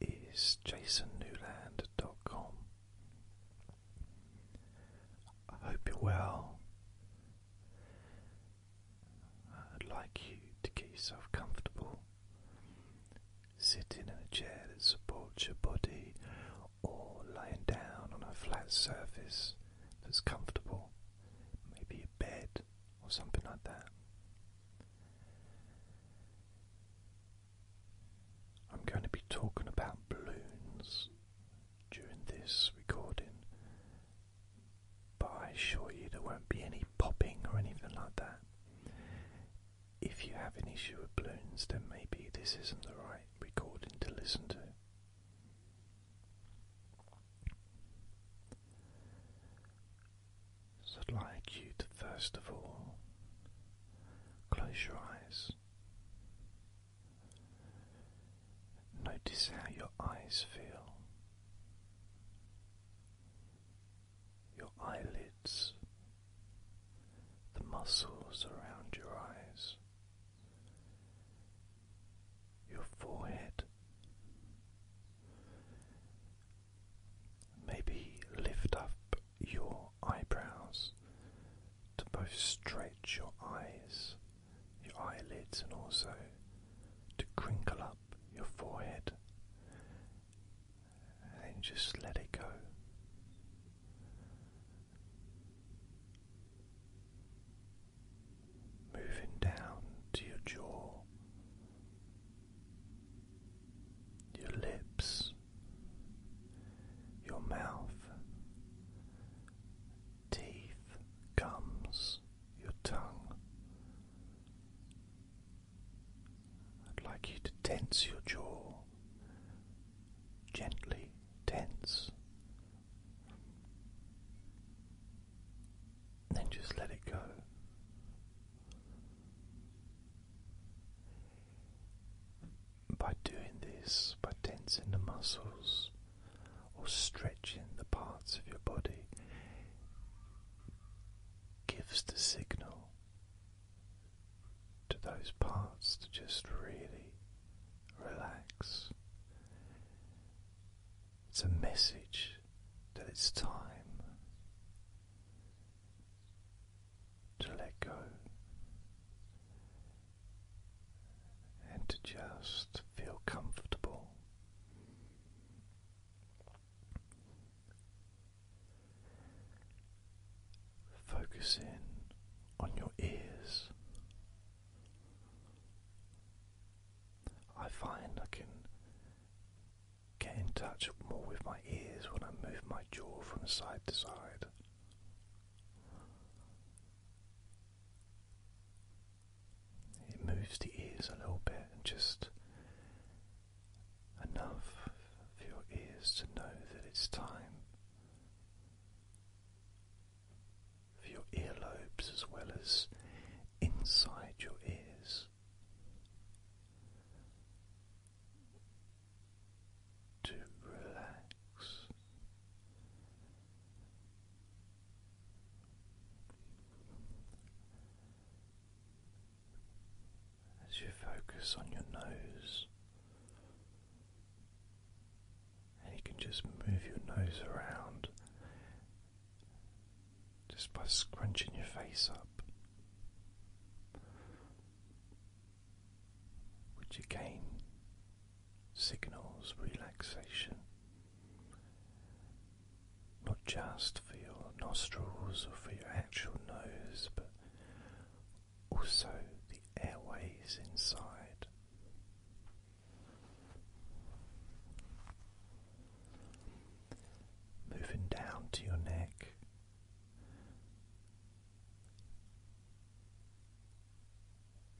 is jasonnewland.com. I hope you're well. I'd like you to get yourself comfortable. Sitting in a chair that supports your body or lying down on a flat surface that's comfortable, maybe a bed or something like that. I'm going to be talking about balloons during this recording, but I assure you there won't be any popping or anything like that. If you have an issue with balloons, then maybe this isn't the right recording to listen to. So I'd like you to first of all close your eyes. Notice how your eyes feel, your eyelids, the muscles around your eyes, your forehead. Maybe lift up your eyebrows, to both stretch your eyes, your eyelids, and also to crinkle up your forehead. And just let it go. Moving down to your jaw, your lips, your mouth, teeth, gums, your tongue. I'd like you to tense your jaw, gently tense. Then just let it go. By doing this, by tensing the muscles or stretching the parts of your body, gives the signal to those parts to just really relax. It's a message that it's time to let go and to just feel comfortable. Focus on your ears. I find I can get in touch more with my ears when I move my jaw from side to side. It moves the ears a little bit and just enough for your ears to know that it's time. For your earlobes as well as inside your ears to relax. As you focus on your nose, and you can just move your nose around just by scrunching your face up which again signals relaxation not just for your nostrils or for your actual nose, but also the airways inside. Moving down to your neck,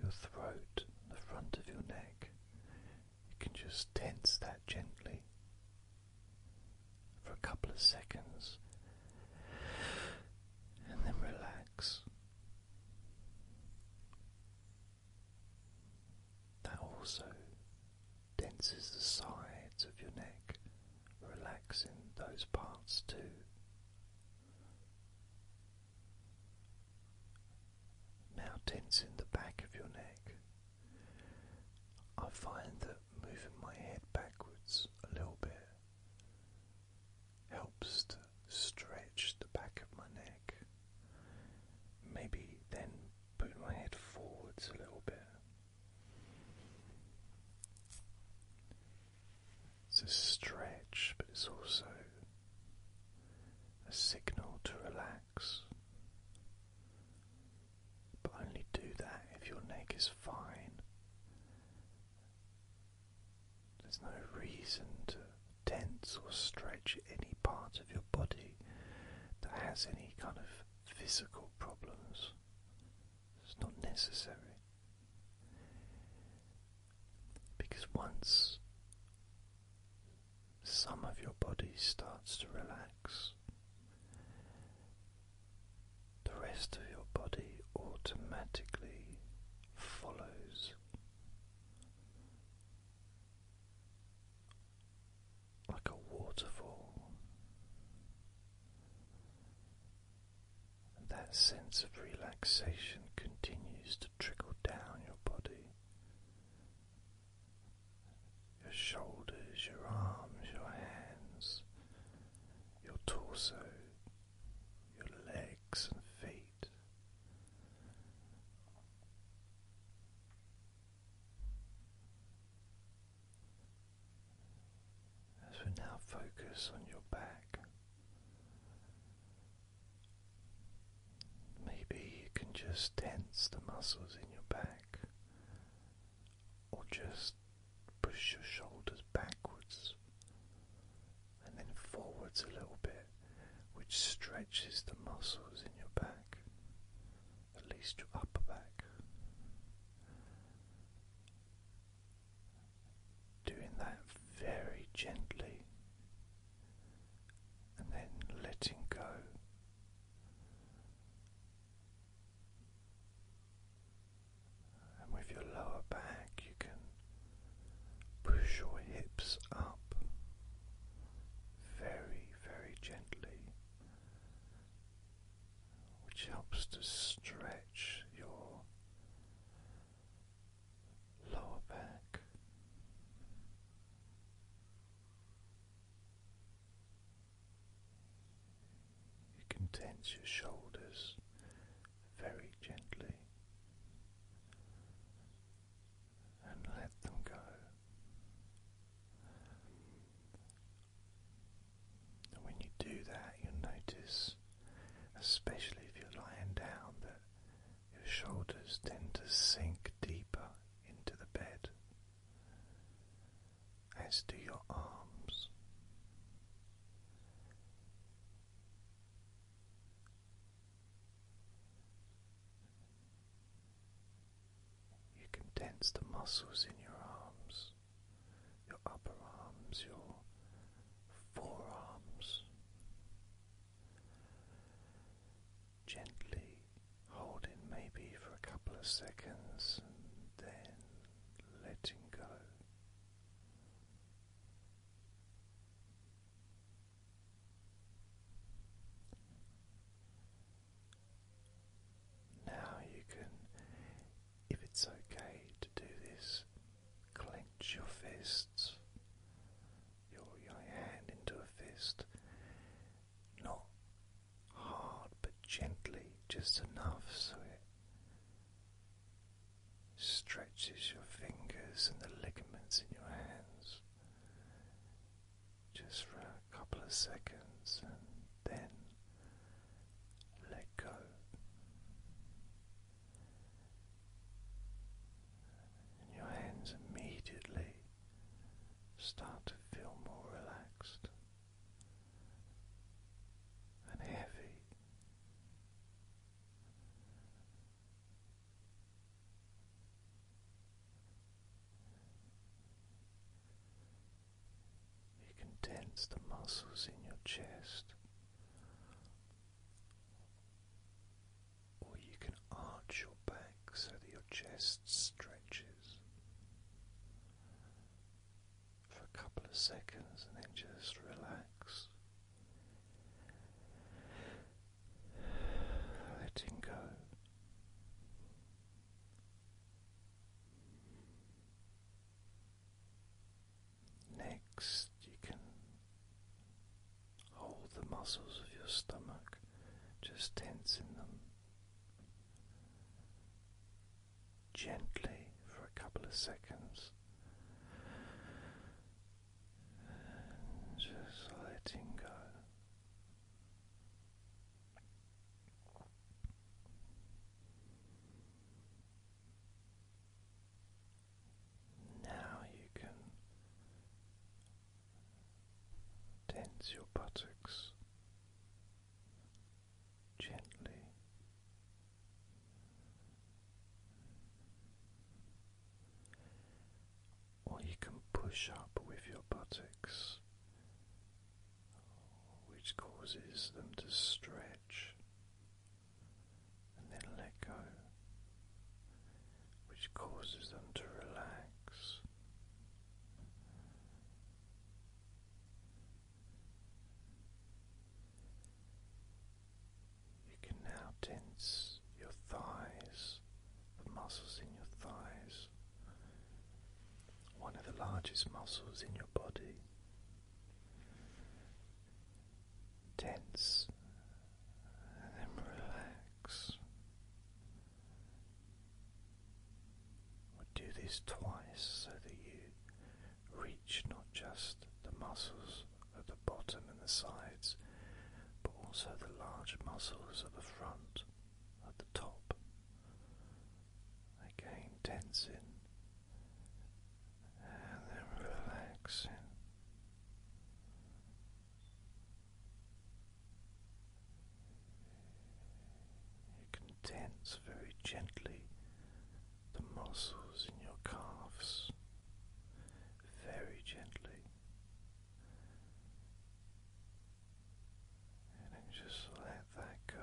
your throat, the front of your neck. You can just tense that gently for a couple of seconds and then relax. That also denses the sides of your neck relaxing those parts too. Now tensing the back of your neck. I find that moving my head backwards a little bit helps to stretch the back of my neck. Maybe then put my head forwards a little bit. It's a stretch, but it's also a signal to relax. But only do that if your neck is fine. There's no reason to tense or stretch any part of your body that has any kind of physical problems. It's not necessary. Because once some of your body starts to relax, the rest of your body automatically follows. Like a waterfall, and that sense of relaxation continues to trickle down your body. Your shoulders, your arms, your hands, your torso, your legs and feet. As we now focus on your back, maybe you can just tense the muscles in your back or just push your shoulders backwards and then forwards a little bit, which stretches the muscles in your back, at least your upper back. Doing that very gently and then letting go. And with your lower back, you can push your hips up very, very gently which helps to stretch your lower back. You can tense your shoulders very gently and let them go. And when you do that, you'll notice, especially if you're lying down, that your shoulders tend to sink deeper into the bed, as do your arms. You can tense the muscles in your arms your upper arms, your forearms, gently holding maybe for a couple of seconds and then letting go. Now you can if it's okay to do this, clench your fists, your, your hand into a fist, not hard but gently, just enough so it stretches your fingers and the ligaments in your hands just for a couple of seconds and then let go and your hands immediately start to feel more relaxed and heavy. You can tense the muscles in your chest. Or you can arch your back so that your chest stretches for a couple of seconds and then just relax, letting go. Next, you can hold the muscles of your stomach, just tensing them gently for a couple of seconds. just letting go. Now you can tense your buttocks gently. Or you can push up with your buttocks, which causes them to stretch and then let go, which causes them to relax. You can now tense your thighs, the muscles in your thighs, one of the largest muscles in your body tense and then relax. we do this twice so that you reach not just the muscles at the bottom and the sides, but also the large muscles at the front, at the top. Again, tensing and then relaxing. You can tense very gently the muscles in your calves, very gently, and then just let that go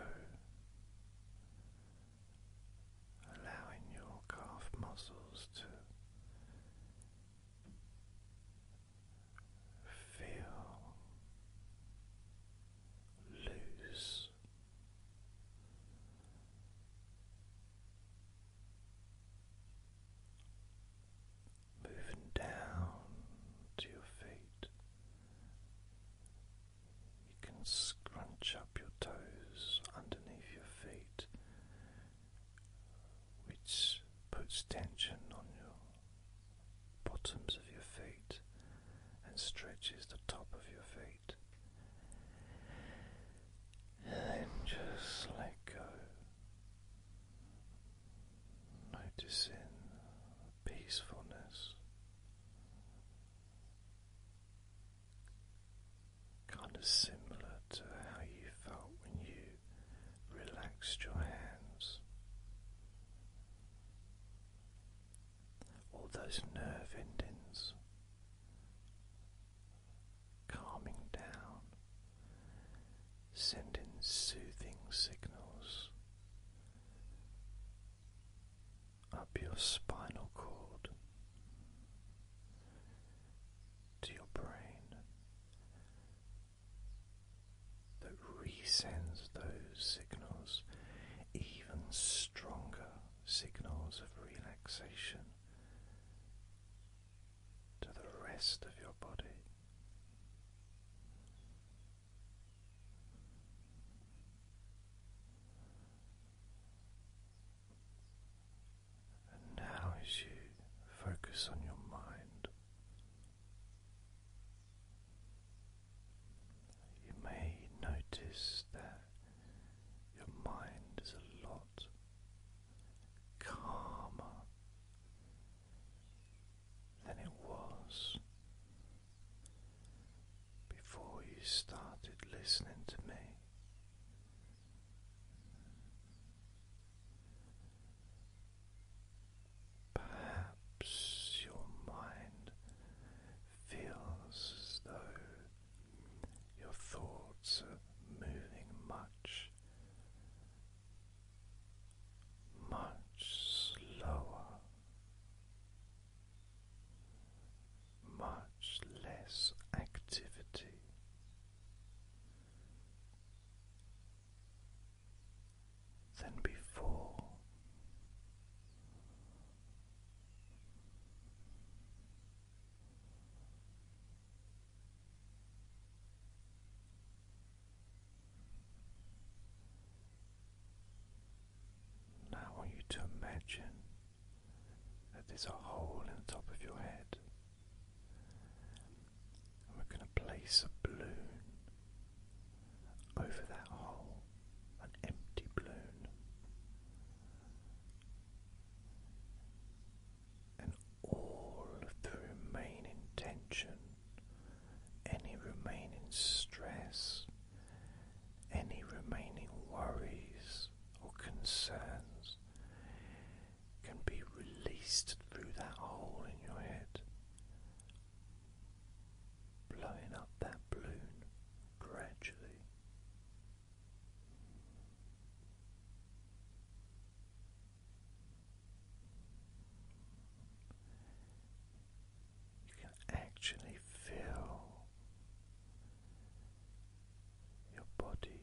allowing your calf muscles to feel loose. Moving down to your feet, you can scrunch up your toes underneath your feet, which puts tension on your bottoms of your feet and stretches the top of your feet. And then just let go, noticing peacefulness kind of similar to how you felt when you relaxed your hands. All those nerve endings calming down, sending soothing signals up your spinal cord to your brain that resends those signals, even stronger signals of relaxation to the rest of your body. And now, as you focus on your mind, you may notice that your mind is a lot calmer than it was before you started listening to me. Perhaps your mind feels as though your thoughts are moving much, much slower much less activity. Than before, now I want you to imagine that there's a hole in the top of your head. And we're going to place a balloon over that hole, an empty balloon. And all of the remaining tension, any remaining stress, any remaining worries or concerns can be released through that hole in your head, blowing up that balloon gradually. You can actually feel your body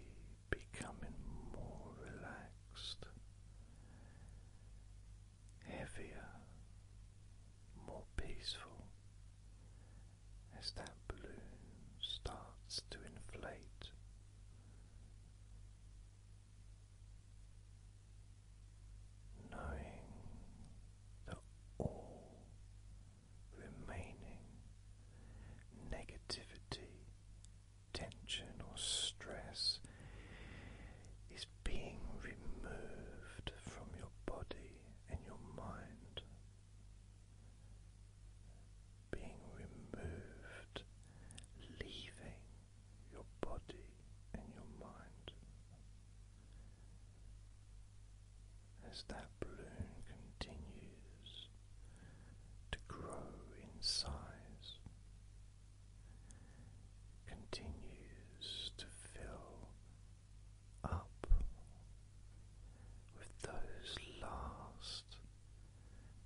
becoming more relaxed, heavier, more peaceful as that balloon starts to inflate. Knowing that all remaining negativity, tension, or stress is being removed from your body and your mind, being removed, leaving your body and your mind as that balloon continues to grow in size, continues to fill up with those last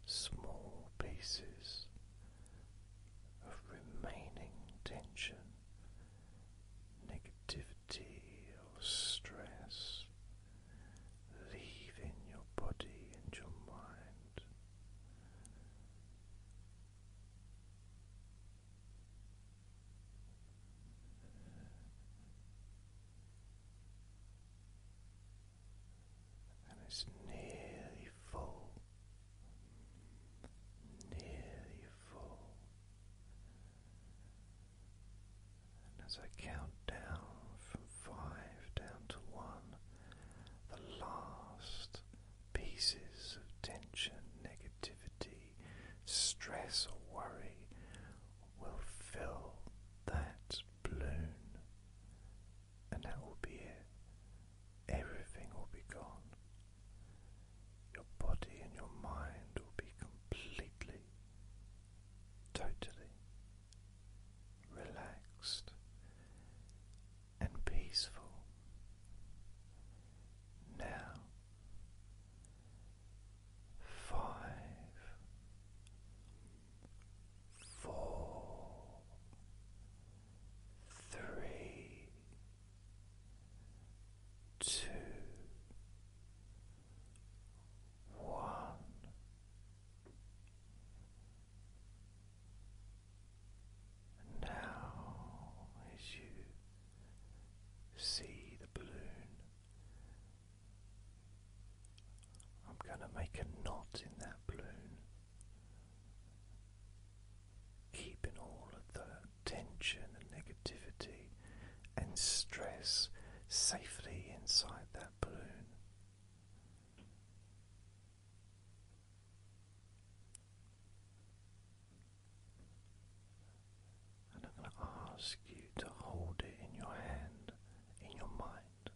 small pieces of remaining tension, negativity negativity stress leaving your body and your mind. And it's nearly full, nearly full. And as I count down from five down to one, the last pieces of tension, negativity, stress, or worry will fill that balloon, and that will be it. Everything will be gone. Your body and your mind will be completely totally relaxed and peaceful. Now, five, four, three, two, one. now, as you see the balloon, I'm going to make a knot in that balloon, keeping all of the tension and negativity and stress safely inside that. And I'm going to ask you to hold it in your hand, in your mind.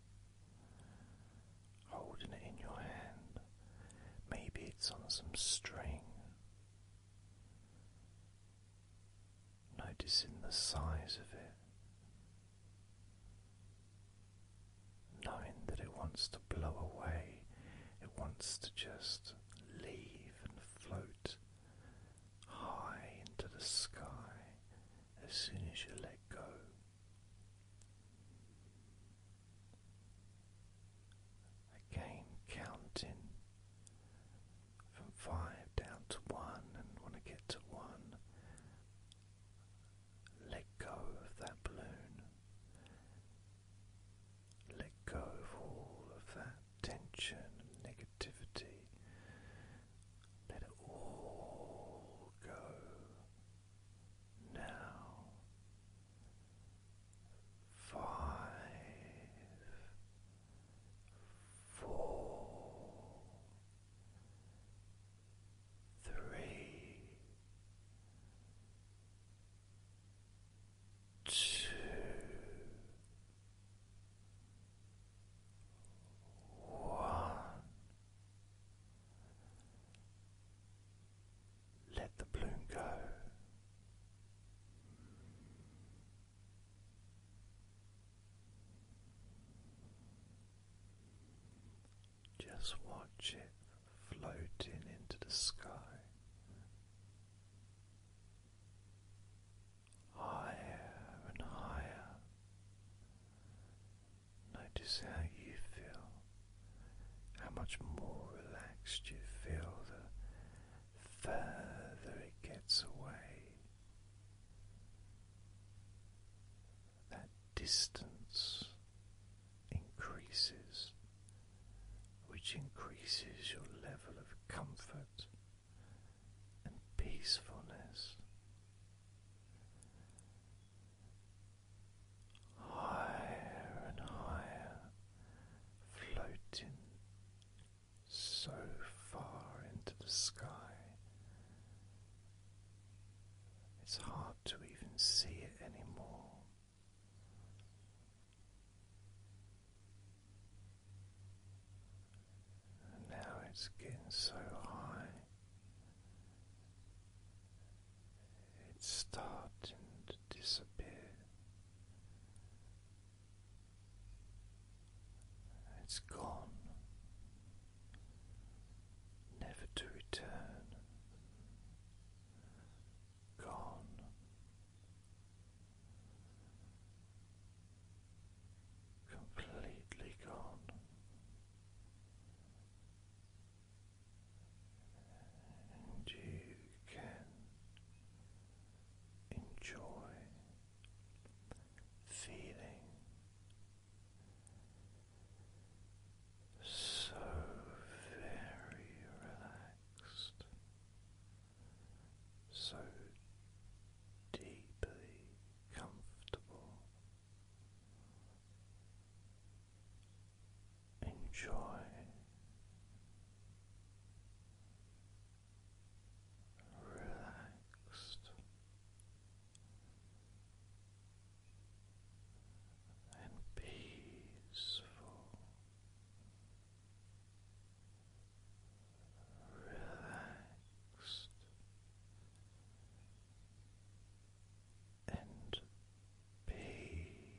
Holding it in your hand. Maybe it's on some string noticing the size of it, knowing that it wants to blow away, it wants to just leave and float high into the sky as soon as you let go. Again, counting from five down to one, and want to get to one, let go of that balloon, let go of all of that tension and negativity, let it all go now. Five four, three, two, one. Let the bloom go. Just watch it floating into the sky. Higher and higher. Notice how you feel, how much more relaxed you feel the further it gets away that distance increases, which increases your level of comfort and peacefulness. Higher and higher, floating so far into the sky. It's hard to even see it anymore. And now it's getting so high, it's starting to disappear. It's gone, never to return. Gone. Completely gone. And you can enjoy feeling so very relaxed, so deeply comfortable. Enjoy. Relaxed, and peaceful, relaxed and peaceful.